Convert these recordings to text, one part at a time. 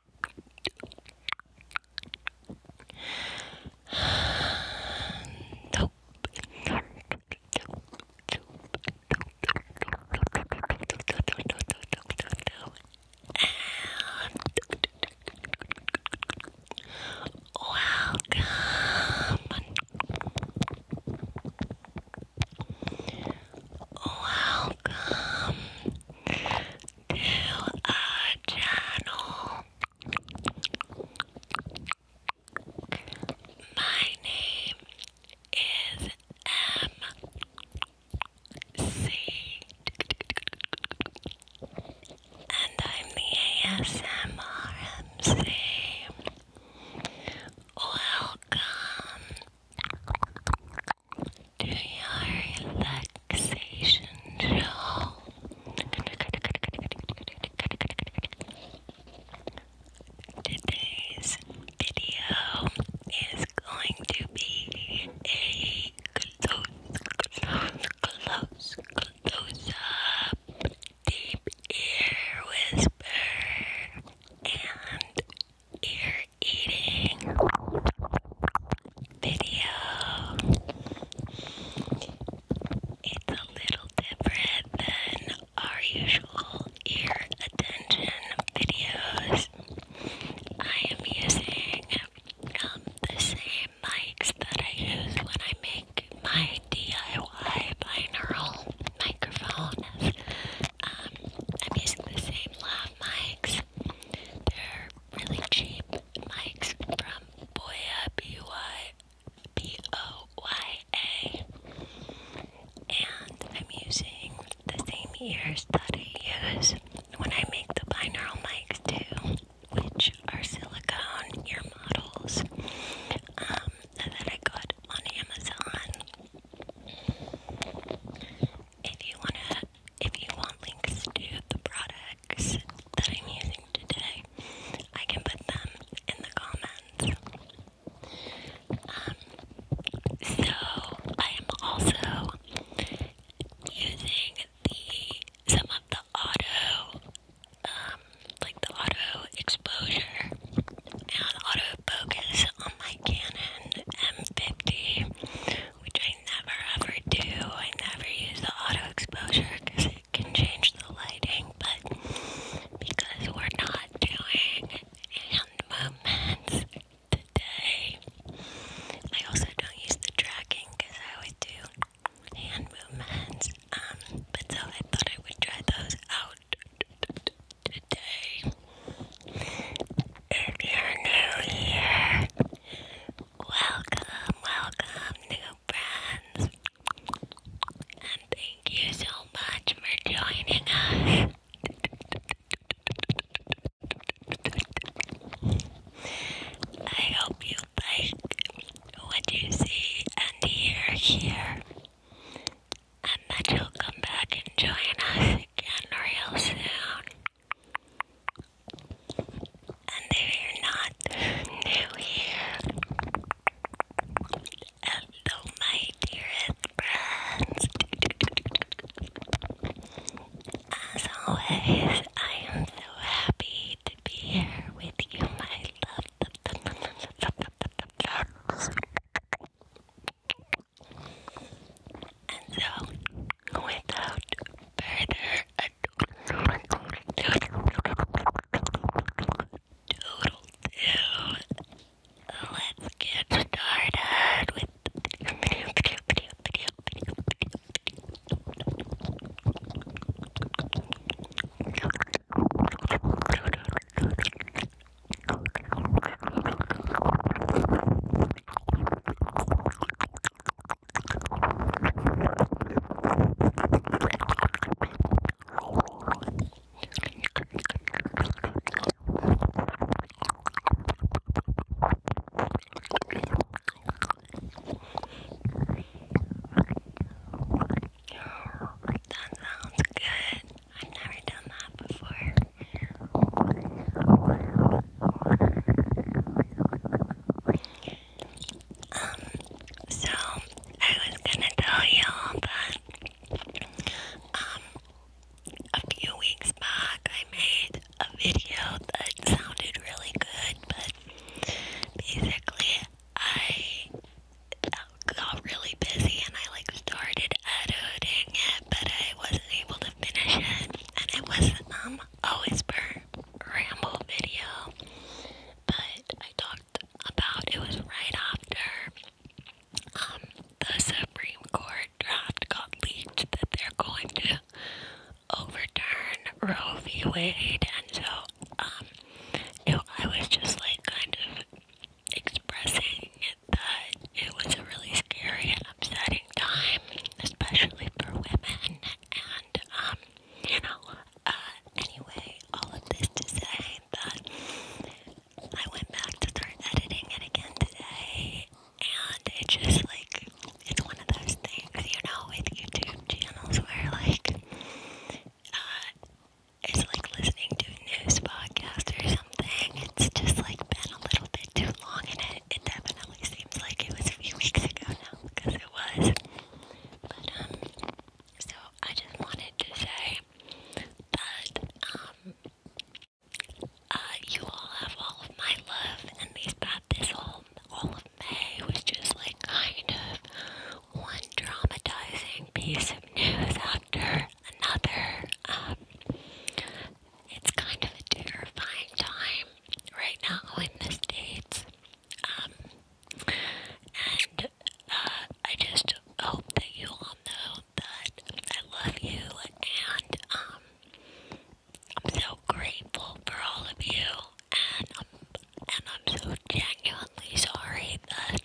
nope. Welcome. Welcome to our channel. My name is MC, and I'm the ASMR Welcome do your relaxation show. Today's video is going to be a close, close, close, close up, deep ear whisper and ear eating video. It's a little different than our usual ear attention videos. I am using um, the same mics that I use when I make my DIY binaural microphones. Um, I'm using the same lav mics they're really cheap mics from Boya B Y B O Y A, and I'm using the same ears that I use when I make the binaural mics too, which are silicone ear models um, that I got on Amazon. If you want to if you want links to the products that I'm using today, I can put them in the comments. Um, so I am also using the some of the auto, um, like the auto exposure and auto focus on my Canon M50 which I never ever do. I never use the auto exposure because it can change the lighting, but because we're not doing hand movements today, I also don't use the tracking because I always do hand movements. Um, but so I thought I would try those out today. If you new here, welcome, welcome, new friends. And thank you so much for joining us. I hope you like what you see and hear here. And that you'll come back and join us again real soon. And they are not new here. Hello, my dearest friends. As always, I am so happy to be here with you, my love. And so, without further ado, doodle do, let's get started with the video, video, video, video, video, video. That sounds good. I've never done that before. Um, so I was gonna tell y'all that um a few weeks back I made a video that sounded really good, but basically I got really busy and I like started editing it, but I wasn't able to finish it, and it was um always per ramble video, but I talked about it was right after um, the Supreme Court draft got leaked that they're going to overturn Roe v. Wade, and so um, I was just like kind of expressing that it was a really scary and upsetting time especially for women. And, um, you know, uh, anyway, all of this to say that I went back to start editing it again today, and it just like it's one of those things, you know, with YouTube channels where like uh, it's like listening to a news podcast or something. It's just like been a little bit too long, and it, it definitely seems like it was a few weeks ago now because it was. But um, so I just wanted to say that um, uh, you all have all of my love, and these about this whole all of May was just like kind of one traumatizing piece of news after another. Um, it's kind of a terrifying time right now in the States. Um, and uh, I just hope that you all know that I love you and um, I'm so grateful for all of you and I'm, and I'm so genuinely sorry that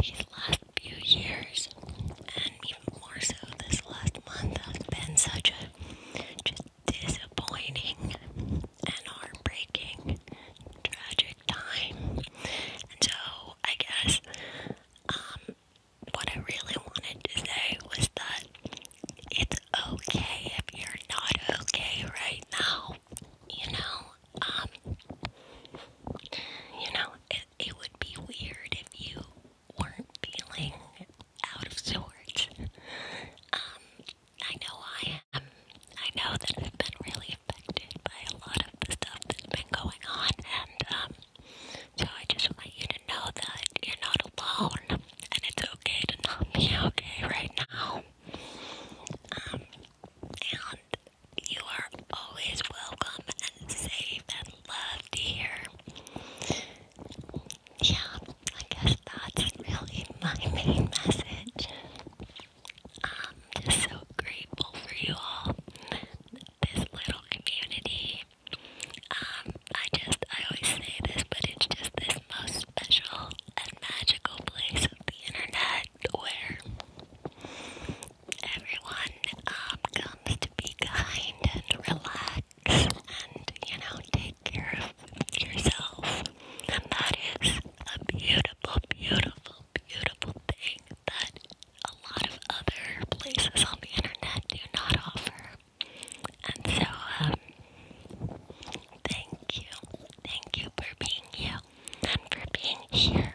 these last few years and even more so this last month has been such a just disappointing and heartbreaking, tragic time. And so, I guess, um, what I really wanted to say was that it's okay if you're not okay right now. You know, um, you know, it, it would be weird if you weren't feeling out of sorts. Um, I know I am. I know that I've been really affected by a lot of the stuff that's been going on, and um, so I just want you to know that you're not alone, and it's okay to not be okay right now. Um, and you are always welcome and safe and loved here yeah, I guess that's really my main message. I'm just so grateful for you all, this little community. Um, I just, I always say this, but it's just this most special and magical place of the internet where everyone um, comes to be kind and relax and, you know, take care of yourself. And that is a beautiful, beautiful, beautiful thing that a lot of other places on the internet do not offer. And so, um, thank you. Thank you for being you and for being here,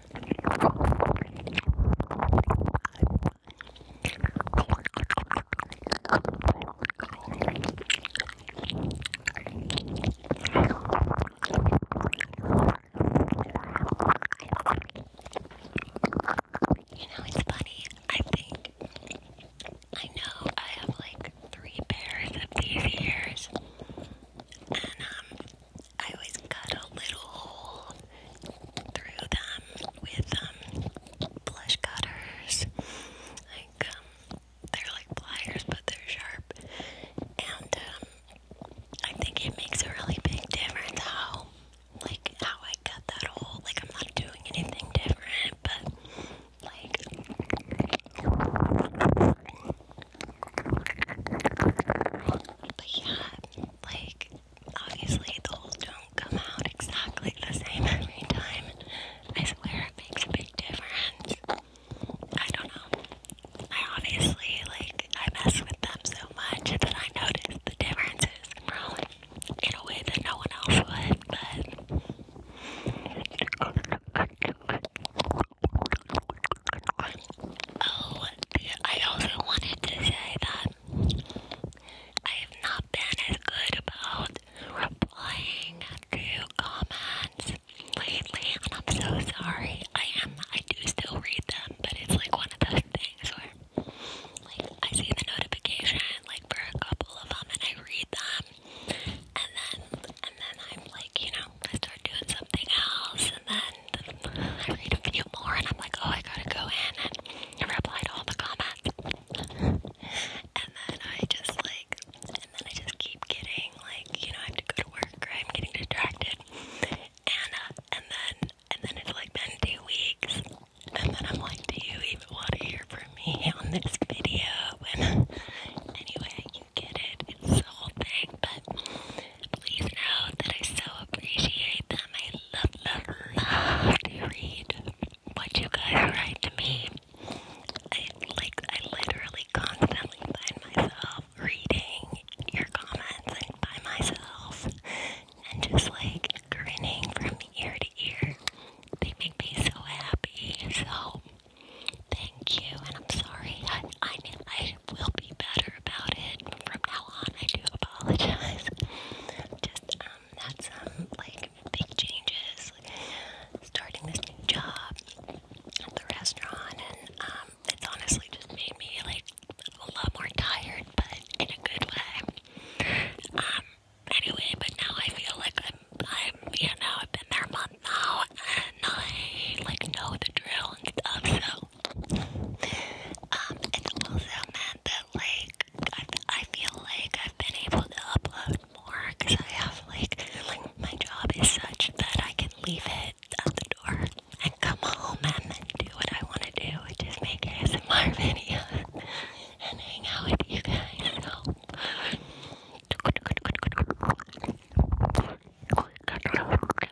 You know, it's funny. I think I know I have like three pairs of these ears, and um, I always cut a little hole through them with um, plush cutters. Like um, they're like pliers, but they're sharp. And um, I think it makes a really big difference how, like, how I cut that hole. Like I'm not doing anything different, but like. But yeah, like, obviously, those don't come out exactly the same every time. I swear it makes a big difference. I don't know. I obviously, like, I mess with them so much that I notice the differences, in a way that no one else would, but. Oh, I also wanted to say that I have not been as good about replying to comments lately, and I'm so sorry. I am, I do still read them, but it's like one of those things where, like, I see the notification, like, for a couple of them, and I read them, and then, and then I'm like, you know, I start doing something else, and then and I read a few more and I'm like, oh, I gotta go in and reply to all the comments. and then I just like, and then I just keep getting like, you know, I have to go to work or I'm getting distracted. And, uh, and then, and then it's like been two weeks. And then I'm like, do you even want to hear from me on this video? And anyway, I can get it. It's the whole thing, but please know that I so appreciate them. I love, love, love to read what you guys write to me. I like, I literally constantly find myself reading your comments and by myself, and just like grinning from ear to ear. They make me so happy. So. Thank thank you, and I'm sorry. I, I will be better about it from now on. I do apologize. Just um, that's um like big changes, starting this new job at the restaurant, and um, it's honestly just made me like a lot more tired, but in a good way. Um, anyway, but now I feel like I'm, i you know, I've been there a month now, and I like know the drill and stuff. So um, it also meant that, like, I, feel like I've been able to upload more because I have, like, like, my job is such that I can leave it at the door and come home and do what I want to do, which is make ASMR videos and hang out with you guys.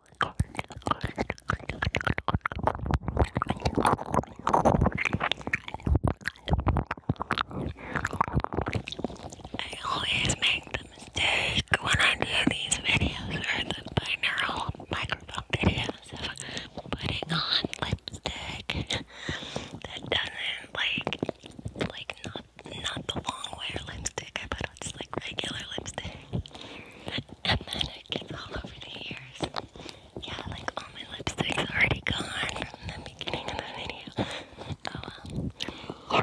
I always make the mistake when I do these videos or the binaural microphone videos of putting on lipstick that doesn't like like not not the long wear lipstick I put on just like regular lipstick and then it gets all over the ears. Yeah, like all my lipstick's already gone from the beginning of the video. Oh,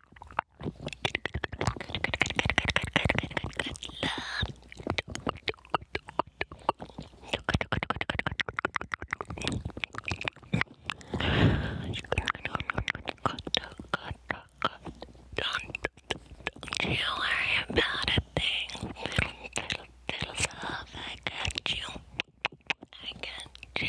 Don't you worry about a thing. Little, little, little love, I got you. I got you.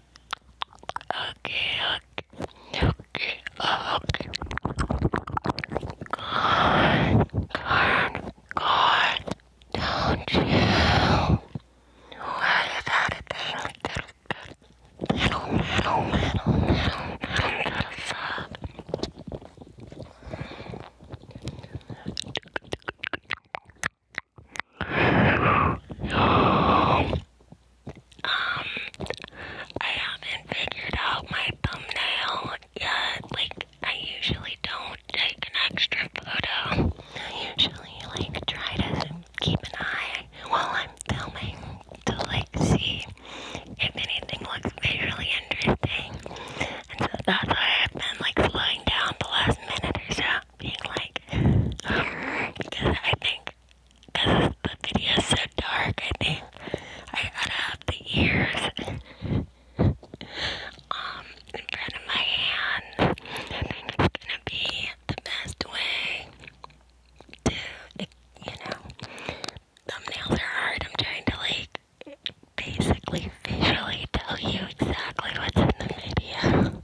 okay, okay, okay, okay, God, God, don't you worry about a thing, little, little, little, little, little, little, um, I haven't figured out my thumbnail yet. Like, I usually don't take an extra photo. I usually, like, try to keep an eye while I'm filming to, like, see if anything looks visually interesting. And so that's why I've been, like, slowing down the last minute or so being like, because I think, because the video's so dark, I think I gotta have the ears um, in front of my hands. I think it's gonna be the best way to, you know, thumbnails are hard. I'm trying to like basically visually tell you exactly what's in the video.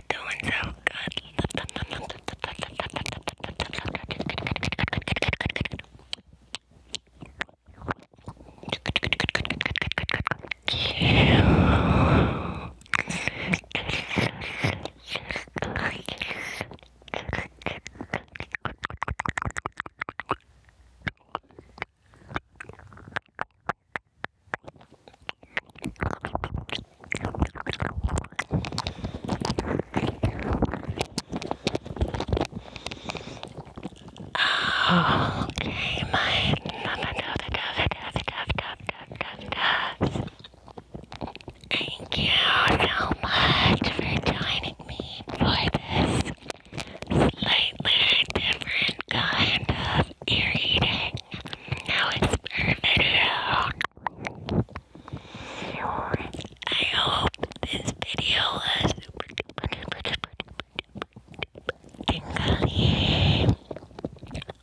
not doing so good okay, my mama dove, dove, dove, dove, dove, dove, dove, dove. Thank you so much for joining me for this slightly different kind of ear eating. Now it's perfect. I hope this video was super duper duper duper duper tingly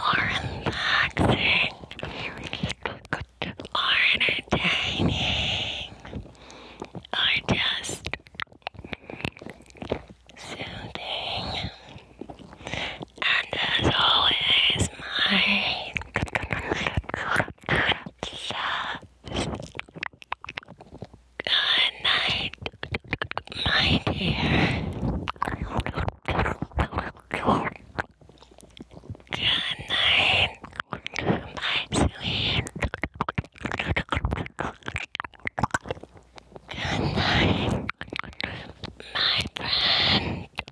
or relaxing or entertaining or just soothing. And as always, my good night, my dear. Good night, my sweet. Good night, my friend.